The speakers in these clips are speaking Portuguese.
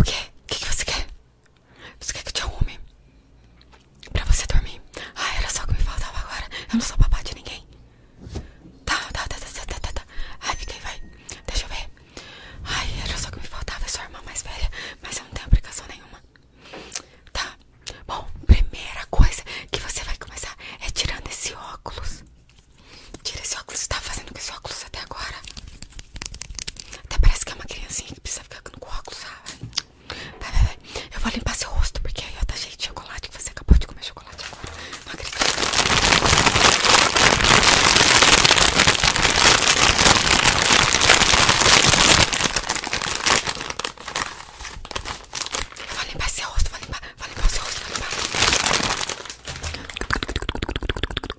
O quê? O que, você quer? Você quer que eu te arrume? Pra você dormir? Ah, era só o que me faltava agora. Eu não sou papai de ninguém. Tá, tá, tá, tá, tá, tá, tá. Ai, fica aí, vai. Deixa eu ver. Ai, era só o que me faltava. É sua irmã mais velha, mas eu não tenho aplicação nenhuma. Tá. Bom, primeira coisa que você vai começar é tirando esse óculos. Tira esse óculos, você tá fazendo com esse óculos até agora? Até parece que é uma criancinha que precisa ficar com o óculos, sabe? Vai, vai, vai. Eu vou limpar seu rosto, porque aí ó, tá cheio de chocolate, que você acabou de comer chocolate agora. Não acredito. vou limpar seu rosto, vou limpar, vou limpar seu rosto, vou limpar.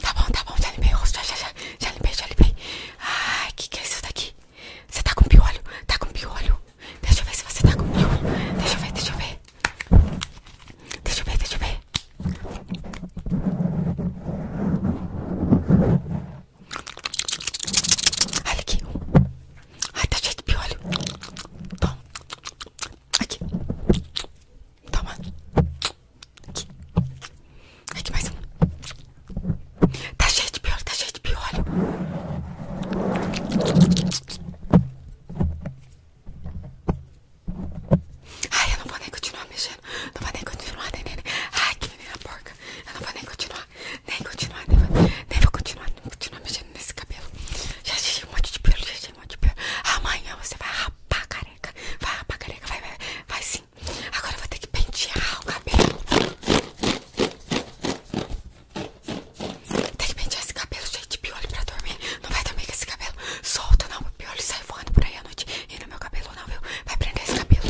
Tá bom, tá bom, já limpei o rosto, já, já, já, já limpei, já limpei. Ai, que que é isso daqui? Você tá com piolho? Tá com piolho? Deixa eu ver se você tá com piolho. Deixa eu ver, deixa eu ver. Deixa eu ver, deixa eu ver. Olha aqui. Ai, tá cheio de piolho. Toma. Aqui. Toma. Aqui. Aqui, mais um. Tá cheio de piolho, tá cheio de piolho. Ai, eu não vou nem continuar mexendo. Não vou nem continuar, neném. Ai, que menina porca. Eu não vou nem continuar nem continuar, nem, né, né, né, vou continuar, nem continuar mexendo nesse cabelo. Já achei um monte de pelo, já achei um de pelo. Amanhã você vai rapar a careca, vai rapar a careca, vai, vai, vai sim. Agora eu vou ter que pentear o cabelo. ter que pentear esse cabelo cheio de piolho pra dormir. Não vai dormir com esse cabelo solta não. O piolho sai voando por aí à noite e no meu cabelo, não, viu? Vai prender esse cabelo.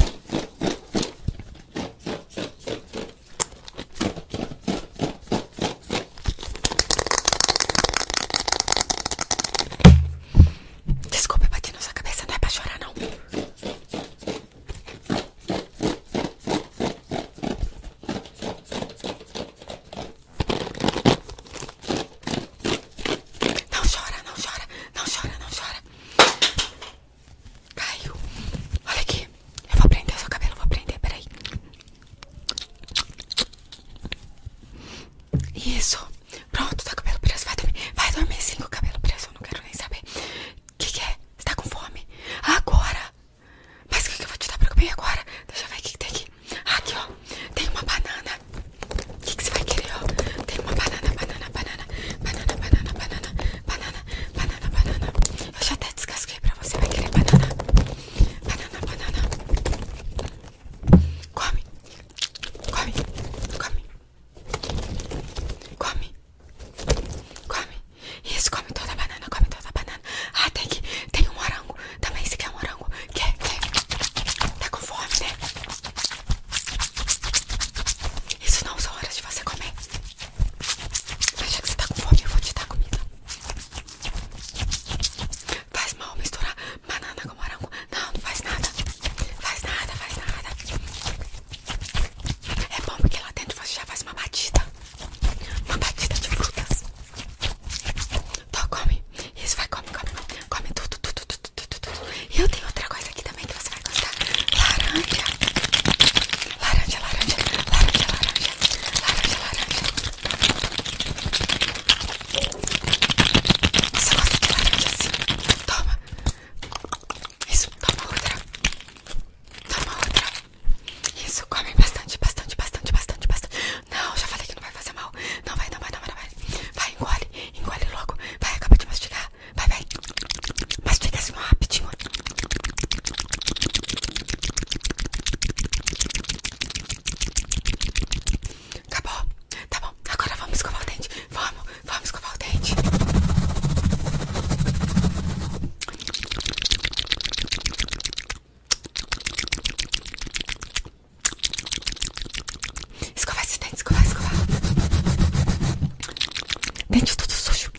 Desculpa bater na sua cabeça, não é pra chorar não. Não chora, não chora, não chora, não chora. Caiu. Olha aqui. Eu vou prender seu cabelo, vou prender, peraí. Isso. Pronto, tá com o cabelo preso. Vai dormir. Vai dormir sim com o cabelo preso. Eu não quero nem saber. O que, é? Você tá com fome? Agora! Mas o que, que eu vou te dar pra comer agora? Deixa eu ver o que, tem aqui. Aqui, ó. Tem uma banana. O que, que você vai querer, ó? Tem uma banana, banana, banana, banana, banana, banana, banana, banana. Eu já até descasquei pra você. Vai querer banana? Banana, banana. Come, come, come, come, come. Isso, come toda a banana, come toda a banana. Ah, tem aqui Tem um morango. Também se quer um morango. Quer, quer. Tá com fome, né? Isso não são horas de você comer. Mas já que você tá com fome, eu vou te dar comida. Faz mal misturar banana com morango. Não, não faz nada. Faz nada, faz nada. É bom porque lá dentro você já faz uma batida. Uma batida de frutas. Então come. Isso vai, come, come. Come tudo, tudo, tudo. E eu tenho outra coisa aqui também que você vai gostar: laranja. Laranja, laranja, laranja, laranja, laranja, laranja. Você gosta de laranja assim? Toma. Isso, toma outra. Toma outra. Isso, come bastante, bastante, bastante, bastante, bastante. Não, já falei que não vai fazer mal. Não vai, não vai, não vai, não vai. Vai, engole, engole logo. Vai, acaba de mastigar tá? Vai, vai. Mas fica assim rapidinho. Acabou. Tá bom. Agora vamos escovar o dente. Vamos, vamos escovar o dente escova esses dentes, escova escova Dente tudo sujo.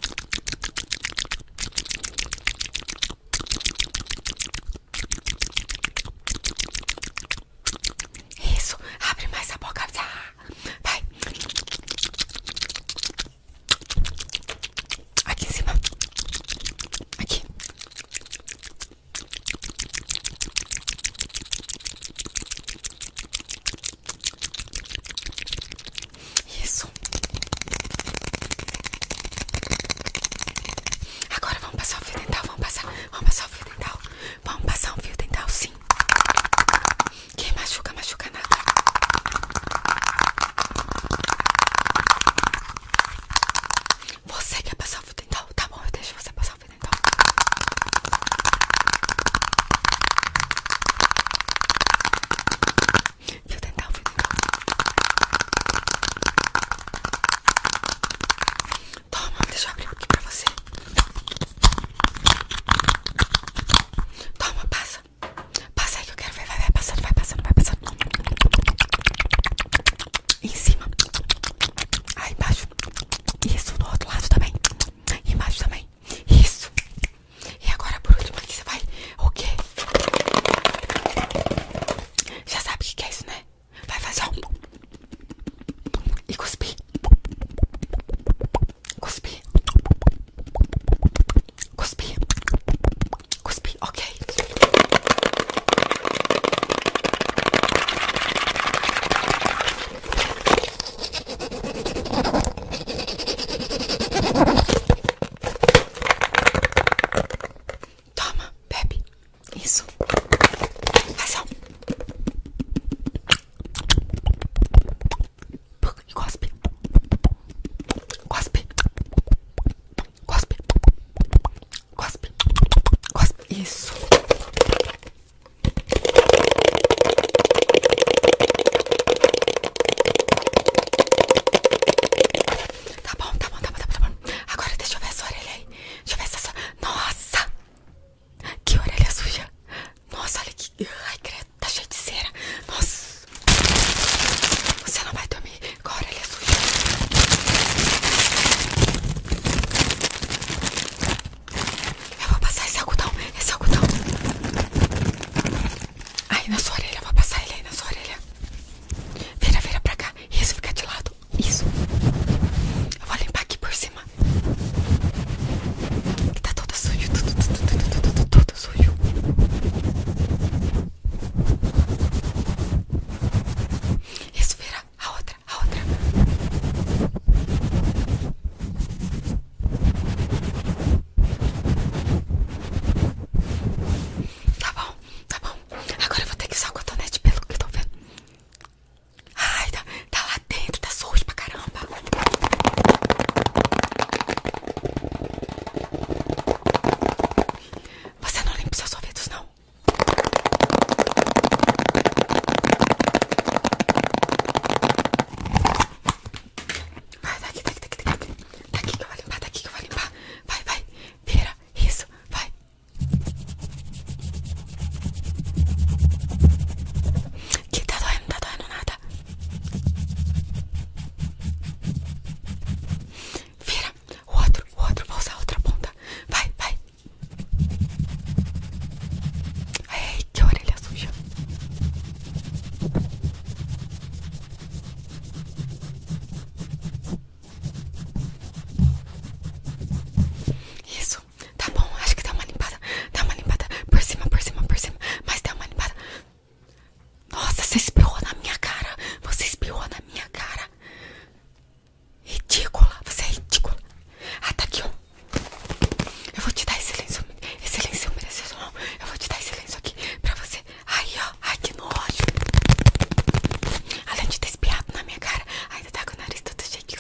Isso, abre mais a boca. Vai. Aqui em cima. Aqui. Isso. Agora vamos passar o fio dental, vamos passar, vamos passar o fio dental. Vamos passar o fio dental, sim. Quem machuca, machuca nada. Você quer passar o fio dental? Tá bom, eu deixo você passar tá ouvindo então. Fio dental, fio dental. deixa eu abrir aqui pra você. Toma, passa. Passa aí que eu quero ver. Vai, vai passando, vai passando, vai passando. Em cima. Aí ah, embaixo. Isso, no outro lado também. E embaixo também. Isso. E agora por último aqui você vai. O quê? Já sabe o que é isso, né? Vai fazer um. E cuspir. Cuspir. Cuspir. Cuspir. Ok. Toma, bebe. Isso. Razão. E cospe. Cospe. Cospe. Cospe. Cospe. Isso. Tá, tá bom, tá bom, tá bom, tá bom, Agora deixa eu ver essa orelha aí. Deixa eu ver essa. Nossa! Que orelha suja! Nossa, olha que. Ai, credo, tá cheio de cera. Nossa! Você não vai dormir mi corele é suie. Eu vou passar esse algodão, esse algodão. Aí na sua orelha, vou passar ele aí na sua orelha. Vira, vira pra cá. Isso, fica de lado. Isso. Eu vou limpar aqui por cima. Que tá toda suja, tudo, tudo, tudo, tudo, tudo, tudo sujo. Isso, a outra, a outra. Tá bom, tá bom. Agora eu vou ter que usar o cotonete pelo que eu tô vendo. Ai, tá, tá lá dentro, tá sujo pra caramba. Você não limpa seus ouvidos, não. Vai, daqui, daqui, daqui, daqui. Daqui que eu vou limpar, daqui tá que eu vou limpar. Vai, vai. Vira. Isso, vai. Que tá doendo, tá doendo nada. Vira, o outro, o outro, vou usar outra ponta. Vai, vai. Ai, que orelha suja. Isso, tá bom, acho que dá uma limpada, dá uma limpada por cima, por cima, por cima, mas dá uma limpada. Nossa, você espirrou na minha cara. Você espirrou na minha cara. Ridícula. Você é ridícula. Ataque! Ah, tá Eu vou te dar esse lenço. Esse lenço merecedor. Eu vou te dar esse lenço aqui pra você. Aí, ó. Ai, que nojo. Além de ter espiado na minha cara, ainda tá com o nariz todo cheio de...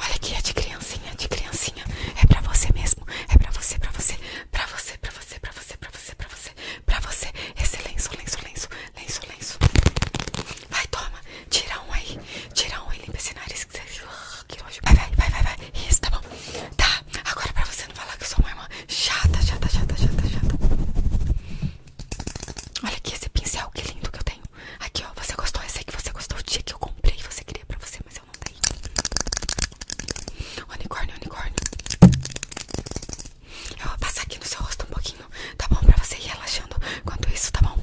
Olha aqui, é de criancinha, de criancinha. É pra você mesmo. É pra você, pra você, pra você, pra você, pra você, pra você, pra você, pra você. Esse lenço, lenço, lenço, lenço, lenço. Vai, toma. Tira um aí tirar um e limpa esse nariz que você. Que nojo. Vai, vai, vai, vai, vai. Isso, tá bom. Tá, agora pra você não falar que eu sou uma irmã chata, chata, chata, chata, chata. Olha aqui esse pincel, que lindo que eu tenho. Aqui, ó. Você gostou? Esse aqui você gostou. O dia que eu comprei, você queria pra você, mas eu não dei. Unicórnio, unicórnio. Eu vou passar aqui no seu rosto um pouquinho, tá bom? Pra você ir relaxando. Enquanto isso, tá bom?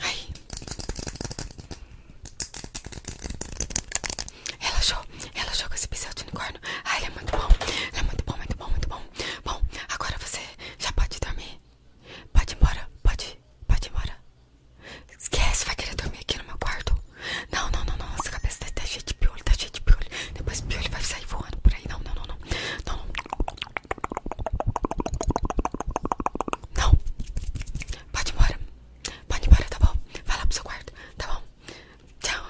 Ai. Relaxou, relaxou com esse pincel de unicórnio. Ai, ele é muito bom. Ele é muito bom, muito bom, muito bom. Bom, agora você já pode dormir. Pode embora, pode, pode embora. Esquece, vai querer dormir aqui no meu quarto. Não, não, não, não. Essa cabeça tá, tá, cheia de piolho, tá cheia de piolho. Depois o piolho vai sair voando por aí. Não, não, não, não. Não, Pode ir embora. Pode ir embora, tá bom? fala pro seu quarto, tá bom? Tchau.